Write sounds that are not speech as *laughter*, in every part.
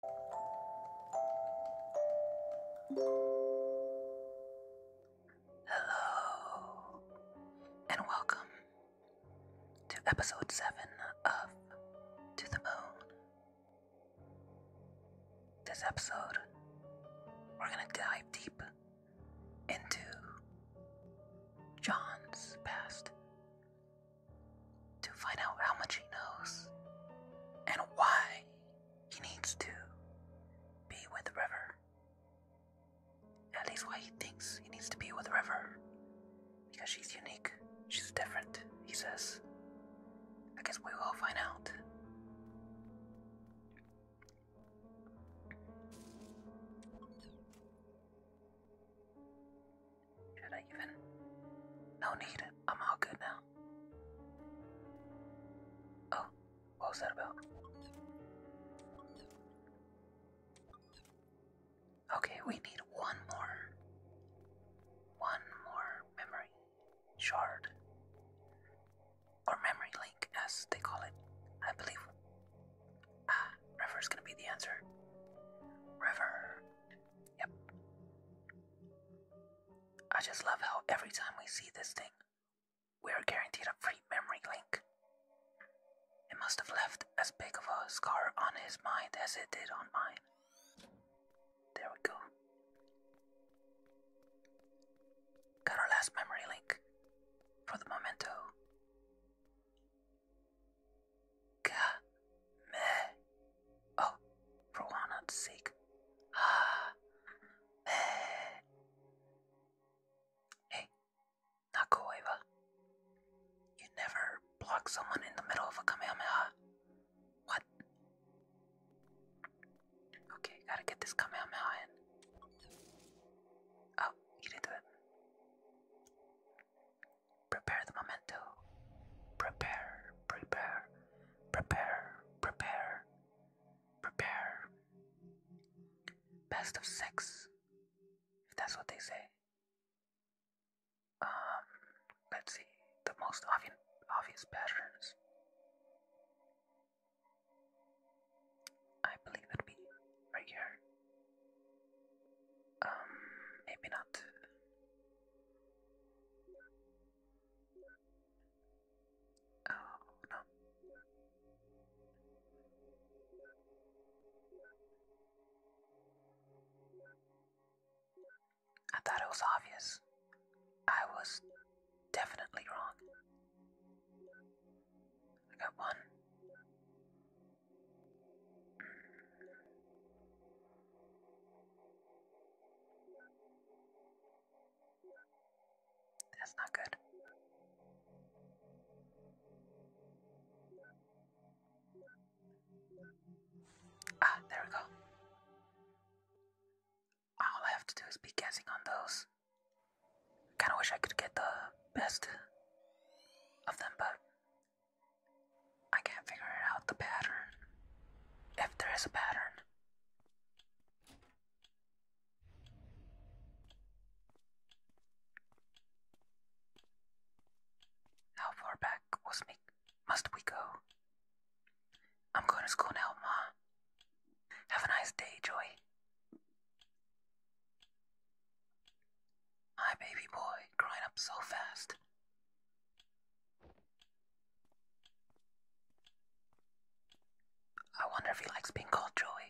Hello, and welcome to episode 7 of To the Moon. This episode, we're gonna dive deep into John's past to find out how much he knows and why he needs to be with River. At least why he thinks he needs to be with River. Because she's unique, she's different, he says. I guess we will find out. Should I even? No need. I'm all good now. Oh, what was that about? Okay, we need one more. One more memory shard. Or memory link, as they call it, I believe. Ah, River's gonna be the answer. River. Yep. I just love how every time we see this thing, we are guaranteed a free memory link. It must have left as big of a scar on his mind as it did on mine. There we go. Got our last memory link for the memento. God meh. Oh, for walnut's sake. Ah, meh. Hey, Nakoeva. You never block someone in the middle of a Kamehameha. What? Okay, gotta get this Kamehameha in. Oh, you did it prepare the memento. Prepare, prepare, prepare, prepare, prepare. Best of six, if that's what they say. Um, let's see, the most obvious, obvious patterns. I believe it'd be right here. Um, maybe not. Oh, I thought it was obvious. I was definitely wrong. I got one. That's not good. Ah, there we go. All I have to do is be guessing on those. Kinda wish I could get the best of them, but I can't figure out the pattern. If there is a pattern. How far back was me must we go? I'm going to school now, Ma. Have a nice day, Joy. My baby boy growing up so fast. I wonder if he likes being called Joey.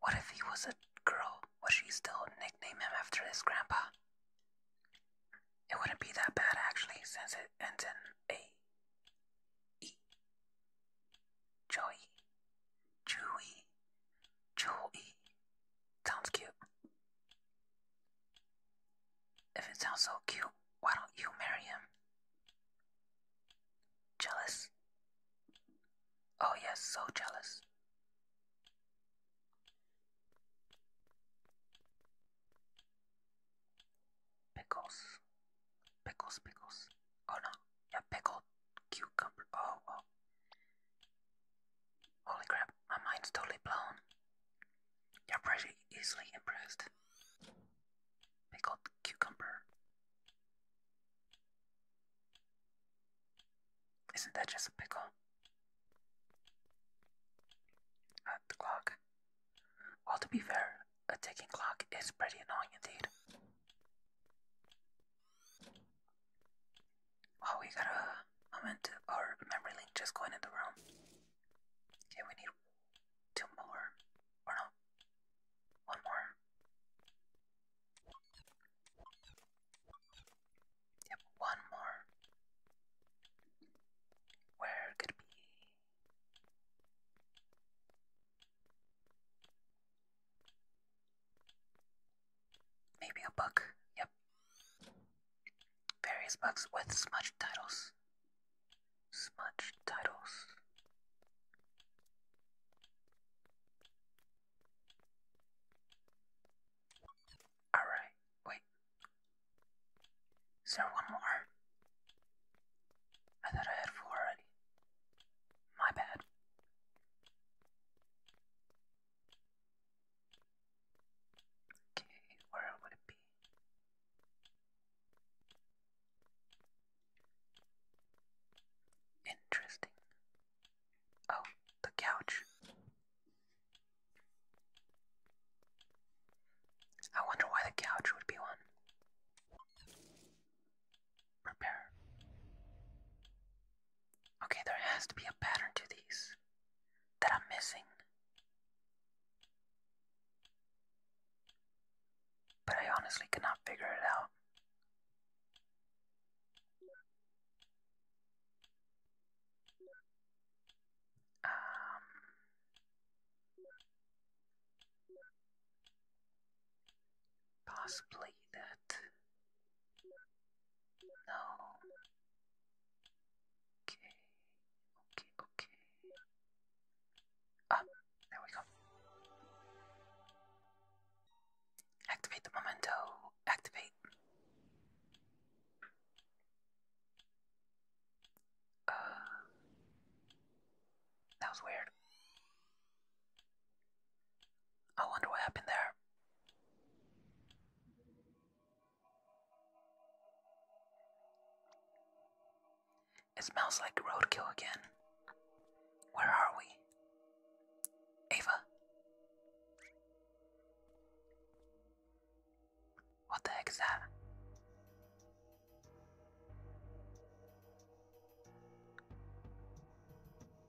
What if he was a girl? Would she still nickname him after his grandpa? It wouldn't be that bad actually, since it ends in A. E. Joey. Joey. Joey. Sounds cute. If it sounds so cute, why don't you marry him? Jealous? Oh, yes, so jealous. Pickles. Pickles, pickles. Oh no, yeah, pickled cucumber. Oh, oh. Holy crap, my mind's totally blown. You're pretty easily impressed. Pickled cucumber. Isn't that just a pickle? At uh, the clock. Well, to be fair, a ticking clock is pretty annoying indeed. Oh, we got a moment. or memory link just going in the room. Okay, we need two more. Or no, one more. Yep, one more. Where could it be? Maybe a book. Yep. Various books with smudged titles. Smudged titles. Alright, wait. Is there one more? I thought I had four already. My bad. Okay, where would it be? Interesting. Oh, the couch. I wonder why the couch would be one. Repair. Okay, there has to be a pattern to these that I'm missing. But I honestly cannot figure it out. Um, possibly that. No. Okay, okay, okay. Up, oh, there we go. Activate the memento. Activate. Uh, that was weird. I wonder what happened there. It smells like roadkill again. Where are we? Ava? What the heck is that?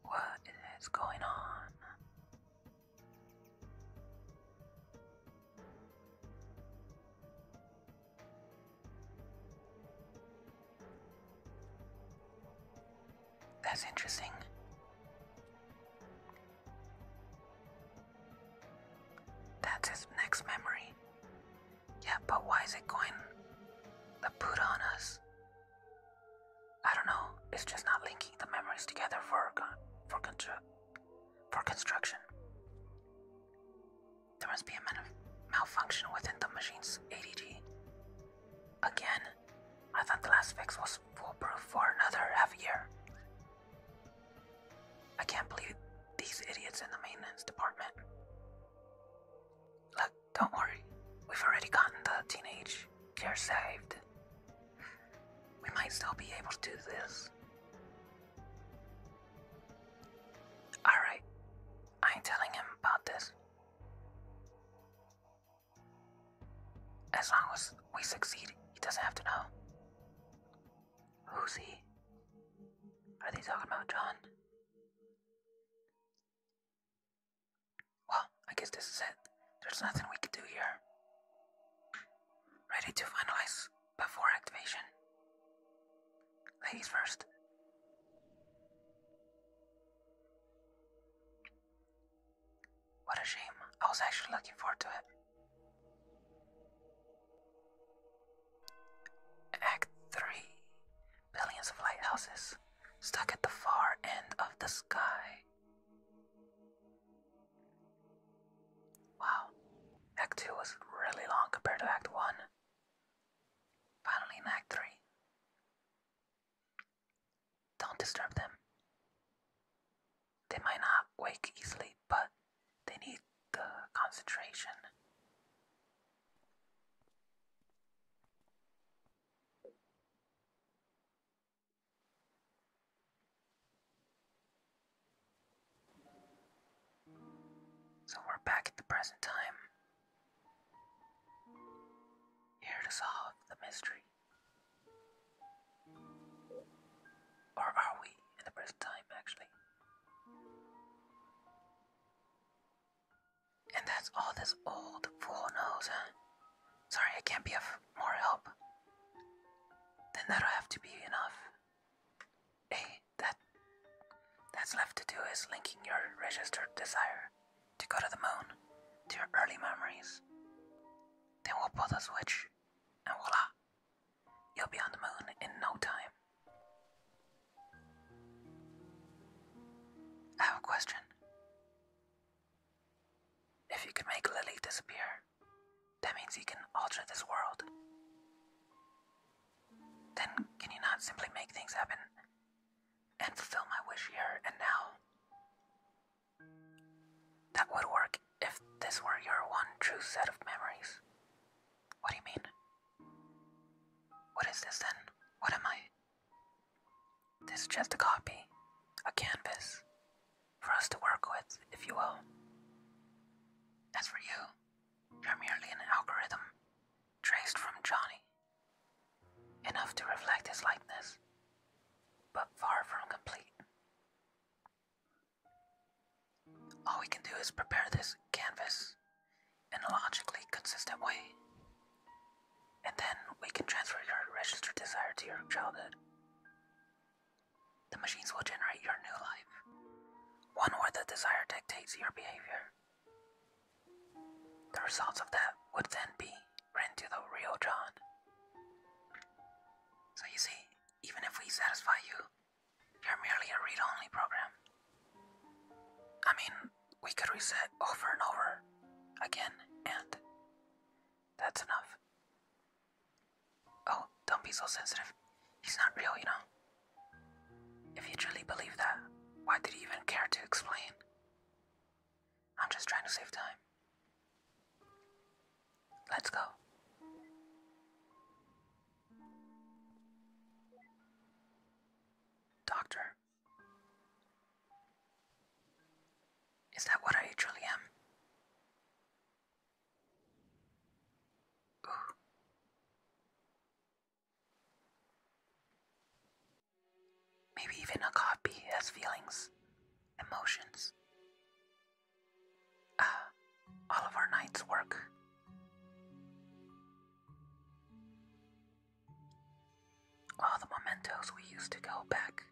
What is going on? That's interesting. That's his next memory. Yeah, but why is it going to put on us? I don't know. It's just not linking the memories together for con for construct for construction. There must be a malfunction within the machine's ADG. Again, I thought the last fix was foolproof for another half a year. I can't believe these idiots in the maintenance department. Look, don't worry. We've already gotten the teenage care saved we might still be able to do this. Alright, I ain't telling him about this. As long as we succeed, he doesn't have to know. Who's he? Are they talking about John? Well, I guess this is it. There's nothing we can do here. Ready to finalize before activation. Ladies first. What a shame. I was actually looking forward to it. Act 3 Billions of lighthouses stuck at the far end of the sky. Wow, Act 2 was really long compared to Act 1. Finally in Act 3. Don't disturb them. They might not wake easily, but they need the concentration. So we're back at the present time. Here to solve the mystery. Or are we in the present time, actually? And that's all this old fool knows, huh? Sorry, I can't be of more help. Then that'll have to be enough. Hey, that's left to do is linking your registered desire to go to the moon to your early memories. Then we'll pull the switch, and voila, you'll be on the moon in no time. I have a question. If you can make Lily disappear, that means you can alter this world. Then can you not simply make things happen and fulfill my wish here and now? That would work if this were your one true set of memories. What do you mean? What is this then? What am I? This is just a copy, a canvas, for us to work with, if you will. As for you, you're merely an algorithm traced from Johnny, enough to reflect his likeness, but far from complete. All we can do is prepare this canvas in a logically consistent way and then we can transfer your registered desire to your childhood. The machines will generate your new life, one where the desire dictates your behavior. The results of that would then be written the real John. So you see, even if we satisfy you, you're merely a read only program. I mean, we could reset over and over again, and that's enough. Oh, don't be so sensitive. He's not real, you know. If you truly believe that, why did he even care to explain? I'm just trying to save time. Let's go. Doctor, is that what I truly am? Maybe even a copy has feelings, emotions. Ah, all of our night's work. All the mementos we used to go back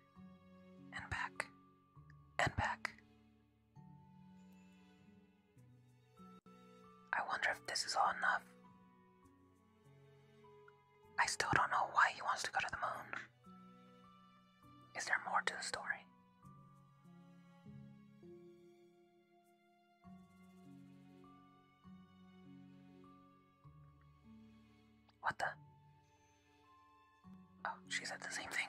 and back and back. I wonder if this is all enough. I still don't know why he wants to go to the moon. Is there more to the story? What the? Oh, she said the same thing.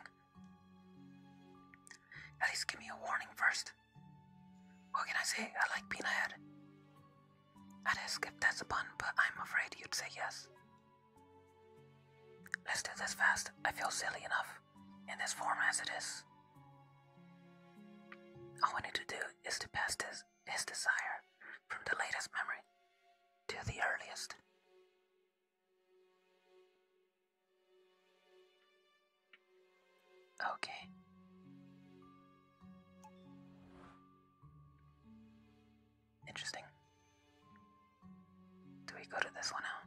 At least give me a warning first. What can I say? I like being ahead. I'd ask if that's a pun, but I'm afraid you'd say yes. Let's do this fast. I feel silly enough in this form as it is. All we need to do is to pass this, his desire from the latest memory to the earliest. Okay. Interesting. Do we go to this one now?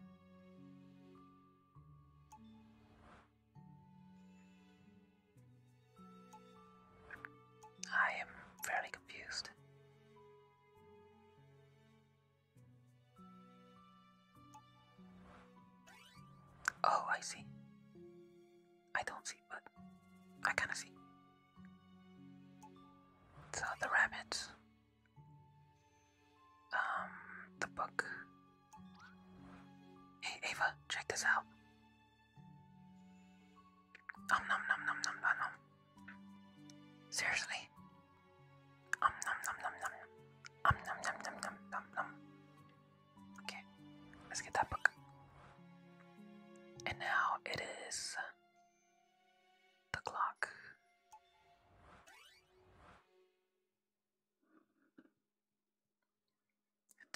I am fairly confused. Oh, I see. I don't see, but I kinda see. So the rabbits. Um, the book. Hey, Ava, check this out. Om nom nom nom nom nom nom. Seriously? Om nom nom nom nom. Om nom nom nom nom nom nom. Okay, let's get that book. And now it is the clock.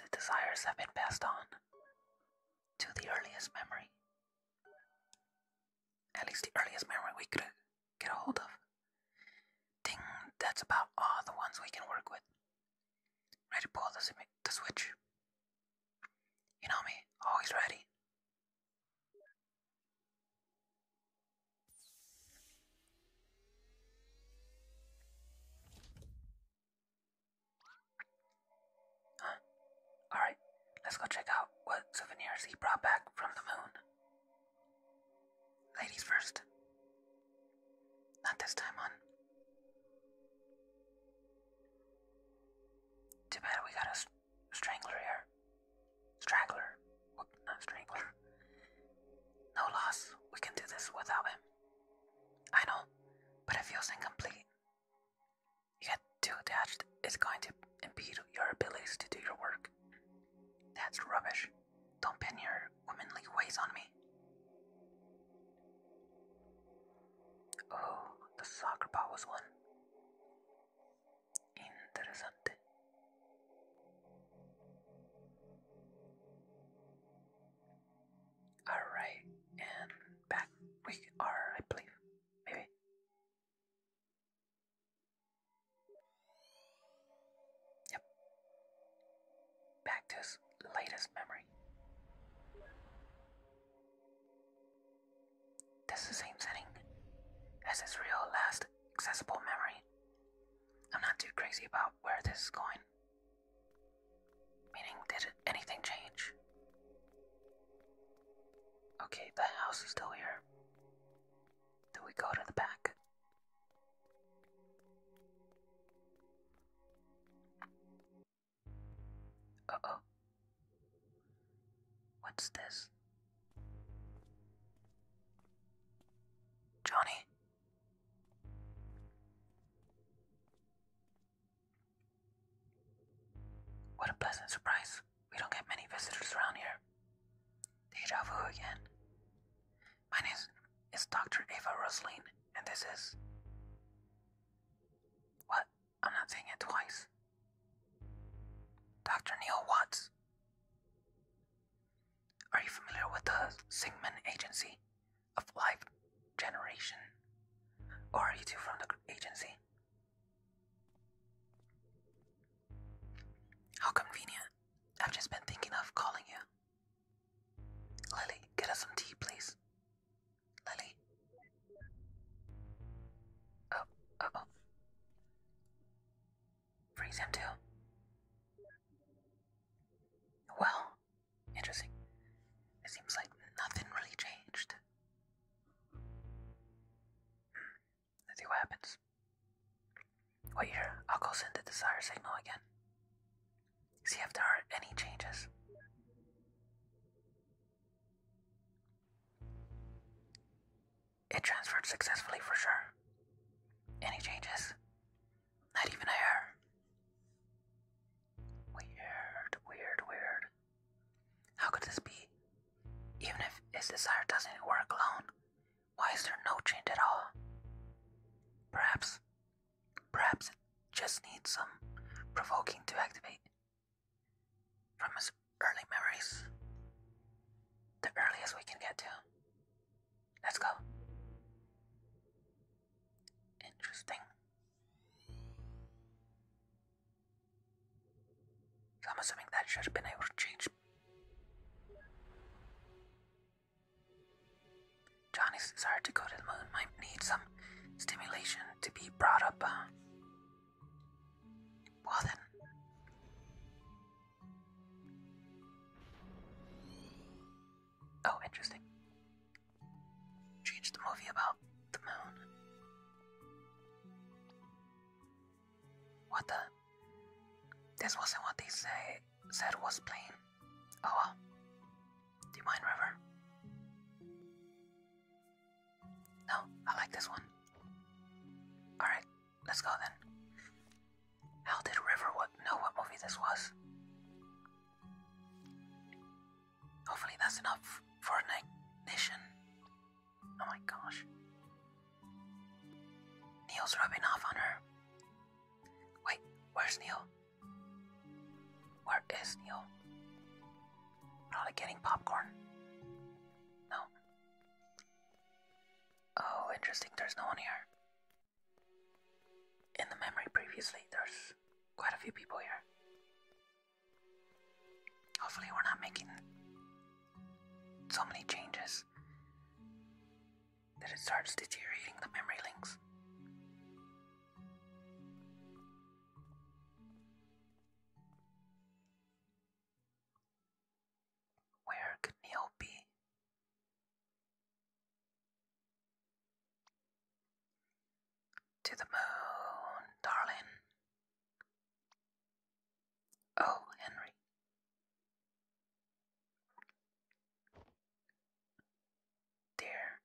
The desires have been passed on to the earliest memory. At least the earliest memory we could get a hold of. Ding, that's about all the ones we can work with. Ready to pull the, the switch. You know me, always ready. Huh. *gasps* Alright, let's go check out what souvenirs he brought back from the moon. Ladies first. Not this time, on. Too bad we got a st here. Straggler. Whoop, not strangler. No loss. We can do this without him. I know, but it feels incomplete get too attached is going to impede your abilities to do your work. That's rubbish. Don't pin your womanly ways on me. Oh, the soccer ball was one. Interessante. Alright, and back we are, I believe. Maybe. Yep. Back to his latest memory. This is the same setting as his real last accessible memory. I'm not too crazy about where this is going. Meaning, did anything change? Okay, the house is still here. Do we go to the back? Uh oh. What's this? Johnny? What a pleasant surprise. We don't get many visitors around here. Deja vu again. My name is Dr. Ava Rosaline, and this is. What? I'm not saying it twice. Dr. Neil Watts. Are you familiar with the Singman Agency of Life Generation? Or are you two from the agency? How convenient. I've just been thinking of calling you. Lily, get us some tea, please. Lily? Oh, uh oh. Freeze too. Well, interesting. It seems like nothing really changed. Let's see what happens. Wait here, I'll go send the desire signal again. See if there are any changes. It transferred successfully for sure. Any changes? Not even a hair. Weird, weird, weird. How could this be? Even if his desire doesn't work alone, why is there no change at all? Perhaps, perhaps it just needs some provoking to activate. From his early memories, the earliest we can get to. Let's go. Interesting. So I'm assuming that should have been able to change. Johnny's desire to go to the moon might need some stimulation to be brought up. Uh, well then. Oh, interesting. Change the movie about the moon. What the? This wasn't what they say said was plain. Oh well. Do River? No, I like this one. Alright, let's go then. How did River what know what movie this was? Hopefully that's enough for an ignition. Oh my gosh. Neil's rubbing off on her. Wait, where's Neil? Where is Neil? Probably getting popcorn. No. Oh, interesting, there's no one here. In the memory previously, there's quite a few people here. Hopefully, we're not making so many changes that it starts deteriorating the memory links. Where could Neil be? To the moon, darling. Oh, Henry. Dear,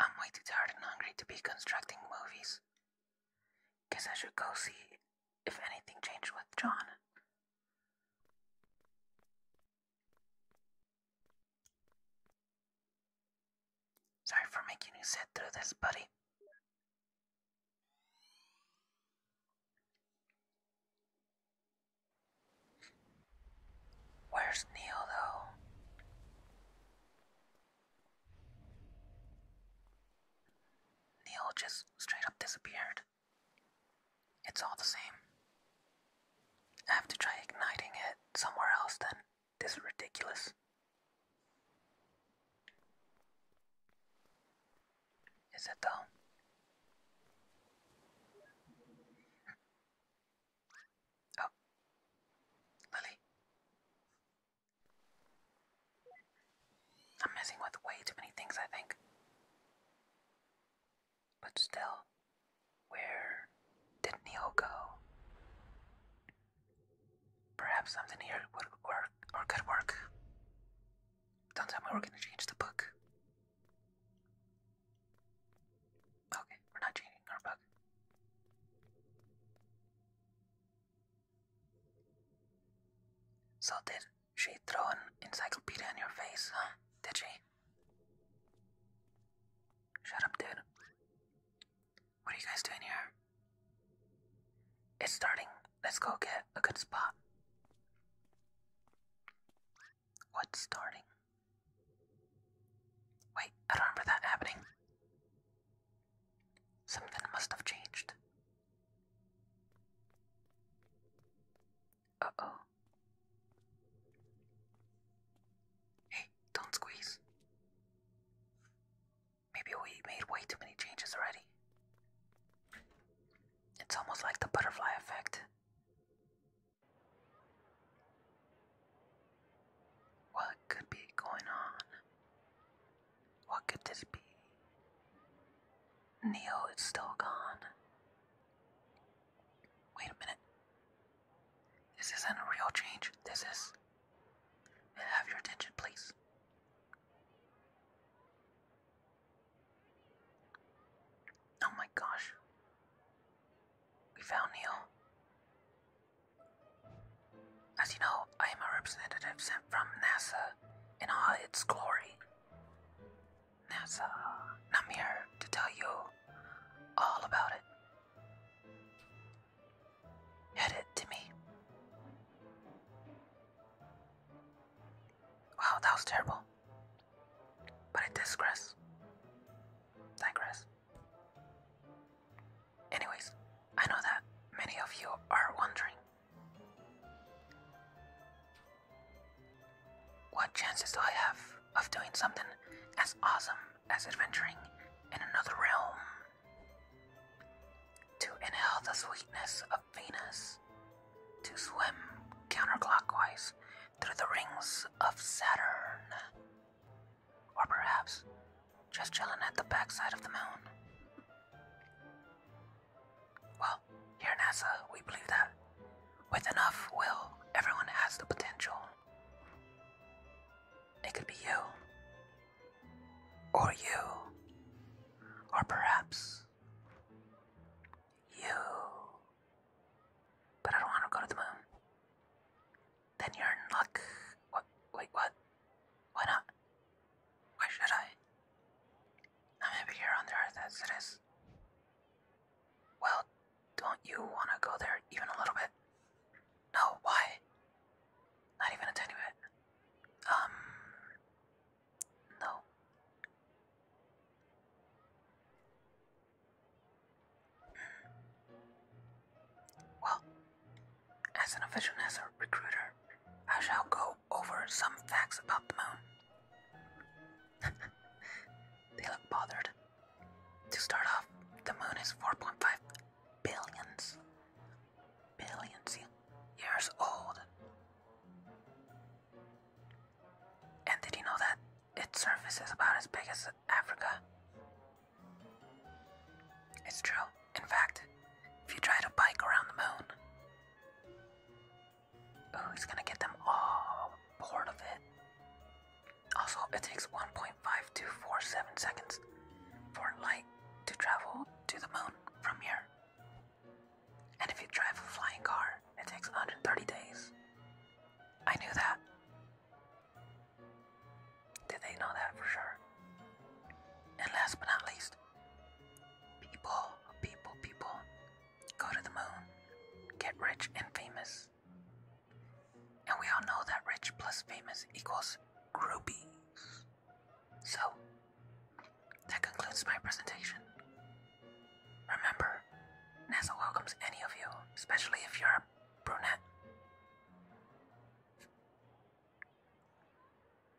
I'm way too tired and hungry to be constructing movies. Guess I should go see if anything changed with John. Sorry for making you sit through this, buddy. Where's Neil, though? Neil just straight up disappeared. It's all the same. I have to try igniting it somewhere else then. This is ridiculous. Is it though? Oh, Lily. I'm messing with way too many things, I think. But still, where did Neil go? Perhaps something here would work or could work. Don't tell me we're gonna change the book. Okay, we're not changing our book. So did she throw an encyclopedia in your face, huh? Did she? Shut up, dude. What are you guys doing here? It's starting. Let's go get a good spot. What's starting? Wait, I don't remember that happening. Something must have changed. Uh oh. Don't squeeze. Maybe we made way too many changes already. It's almost like the butterfly effect. What could be going on? What could this be? Neo is still gone. Wait a minute. This isn't a real change. This is. have your attention, please? Oh my gosh. We found Neil. As you know, I am a representative sent from NASA in all its glory. NASA, and I'm here to tell you all about it. Hit it, Timmy. Wow, that was terrible. But I digress. Digress. Anyways, I know that many of you are wondering what chances do I have of doing something as awesome as adventuring in another realm? To inhale the sweetness of Venus. To swim counterclockwise through the rings of Saturn. Or perhaps just chilling at the backside of the moon. Well, here at NASA, we believe that with enough will, everyone has the potential. It could be you, or you, or perhaps you. But I don't want to go to the moon. Then you're in luck. Wait, what? Why not? Why should I? I'm happy here on earth as it is. Well, don't you want to go there even a little bit? No, why? Not even a tiny Um. No. Well, as an official NASA recruiter, I shall go over some facts about the moon. *laughs* they look bothered. To start off, the moon is 4.5 billions, billions years old. And did you know that its surface is about as big as Africa? It's true. In fact, if you try to bike around the moon, oh, gonna get them all bored of it. Also, it takes 1.5 to 47 seconds for light to travel to the moon from here. And if you drive a flying car, it takes 130 days. I knew that. Did they know that for sure? And last but not least, people, people, people go to the moon, get rich and famous, and we all know that rich plus famous equals groupie. So, that concludes my presentation. Remember, NASA welcomes any of you, especially if you're a brunette.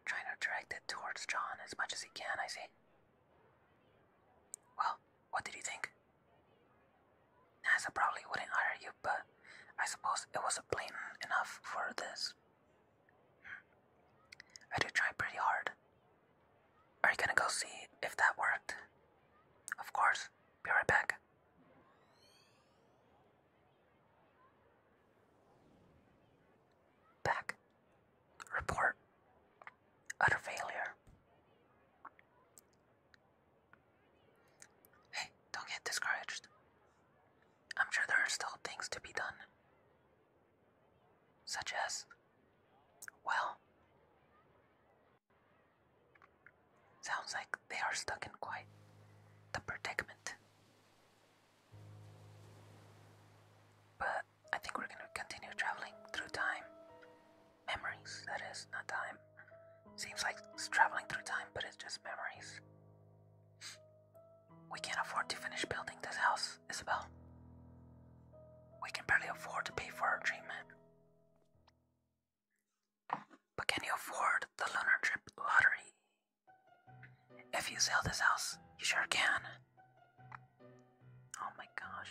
Trying to direct it towards John as much as he can, I see. Well, what did you think? NASA probably wouldn't hire you, but I suppose it was blatant enough for this. Hmm. I did try pretty hard. Are you gonna go see if that worked? Of course. Be right back. Back. Report. Utter failure. Hey, don't get discouraged. I'm sure there are still things to be done. Such as, well, sounds like they are stuck in quite the predicament. But I think we're gonna continue traveling through time. Memories, that is, not time. Seems like it's traveling through time, but it's just memories. We can't afford to finish building this house, Isabel. We can barely afford to pay for our treatment. But can you afford the lunar trip lottery? If you sell this house, you sure can. Oh my gosh.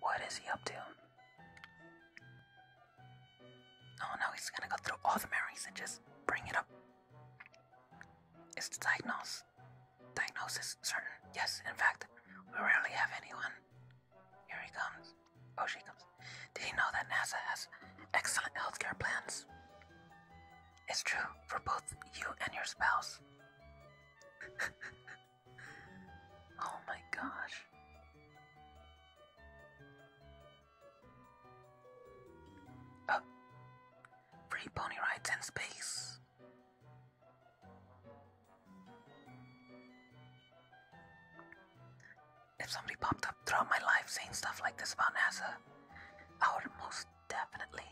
What is he up to? Oh no, he's gonna go through all the memories and just bring it up. Is the diagnosis diagnosis certain? Yes, in fact, we rarely have anyone. Here he comes. Oh, she comes. Did you know that NASA has excellent healthcare plans? It's true for both you and your spouse. *laughs* oh my gosh. Oh. Free pony rides in space. If somebody popped up throughout my life saying stuff like this about NASA, I would most definitely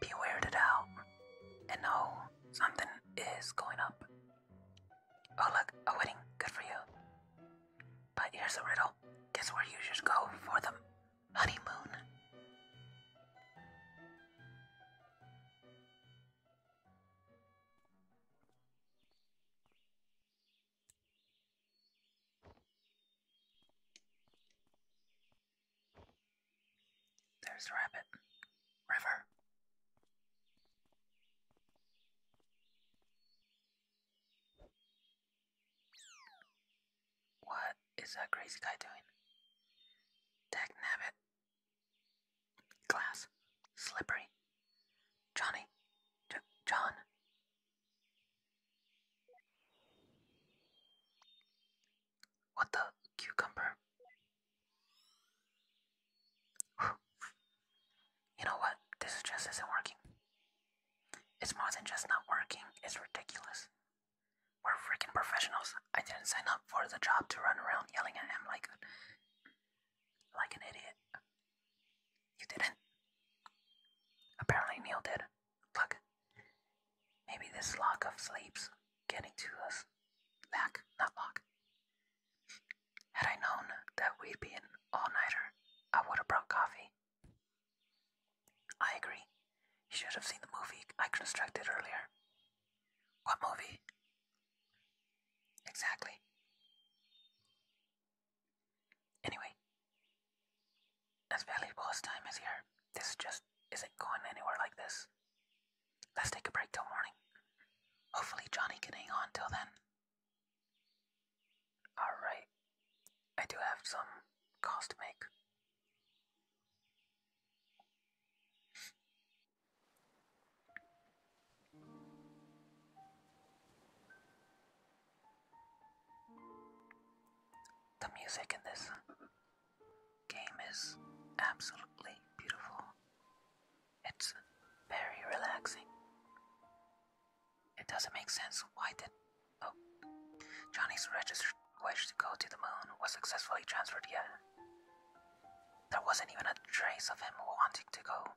be weirded out and know something is going up. Oh look, a wedding. Good for you. But here's a riddle. Guess where you should go for the honeymoon? There's the rabbit. River. What is that crazy guy doing? Dag Glass. Slippery. Johnny. John. What the cucumber? You know what? This just isn't working. It's more than just not working, it's ridiculous. We're freaking professionals. I didn't sign up for the job to run around yelling at him like, like an idiot. You didn't? Apparently Neil did. Look, maybe this lock of sleeps getting to us. Lack, not lock. Had I known that we'd be an all nighter, I would have brought coffee. I agree. You should have seen the movie I constructed earlier. What movie? Exactly. Anyway, as valuable as time is here, this just isn't going anywhere like this. Let's take a break till morning. Hopefully, Johnny can hang on till then. Alright, I do have some calls to make. The music in this game is absolutely beautiful. It's very relaxing. It doesn't make sense why the oh, Johnny's registered wish to go to the moon was successfully transferred yet. There wasn't even a trace of him wanting to go.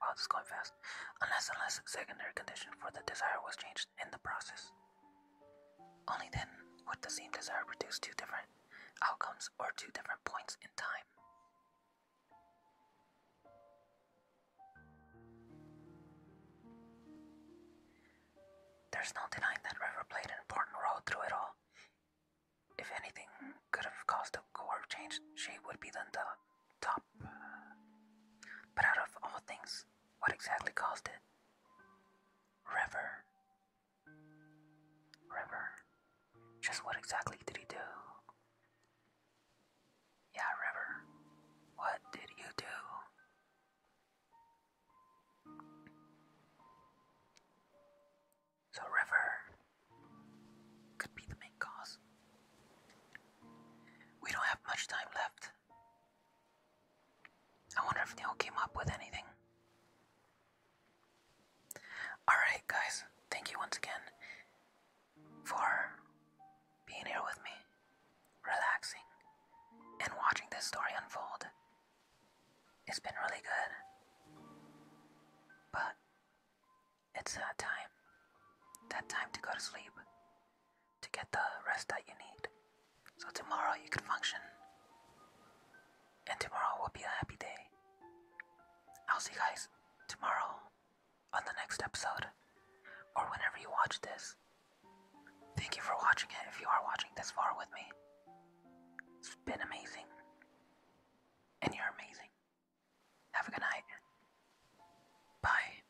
Wow, this is going fast. Unless, unless secondary condition for the desire was changed in the process. Only then would the same desire produce two different outcomes or two different points in time. There's no denying that River played an important role through it all. If anything could have caused a core change, she would be on the top. But out of all things, what exactly caused it? River. River. Just what exactly did he do? Yeah, River. What did you do? So, River could be the main cause. We don't have much time left. I wonder if Neil came up with anything. Alright, guys, thank you once again for being here with me, relaxing, and watching this story unfold. It's been really good, but it's time. That time to go to sleep, to get the rest that you need, so tomorrow you can function and tomorrow will be a happy day. I'll see you guys tomorrow on the next episode or whenever you watch this. Thank you for watching it if you are watching this far with me. It's been amazing. And you're amazing. Have a good night. Bye.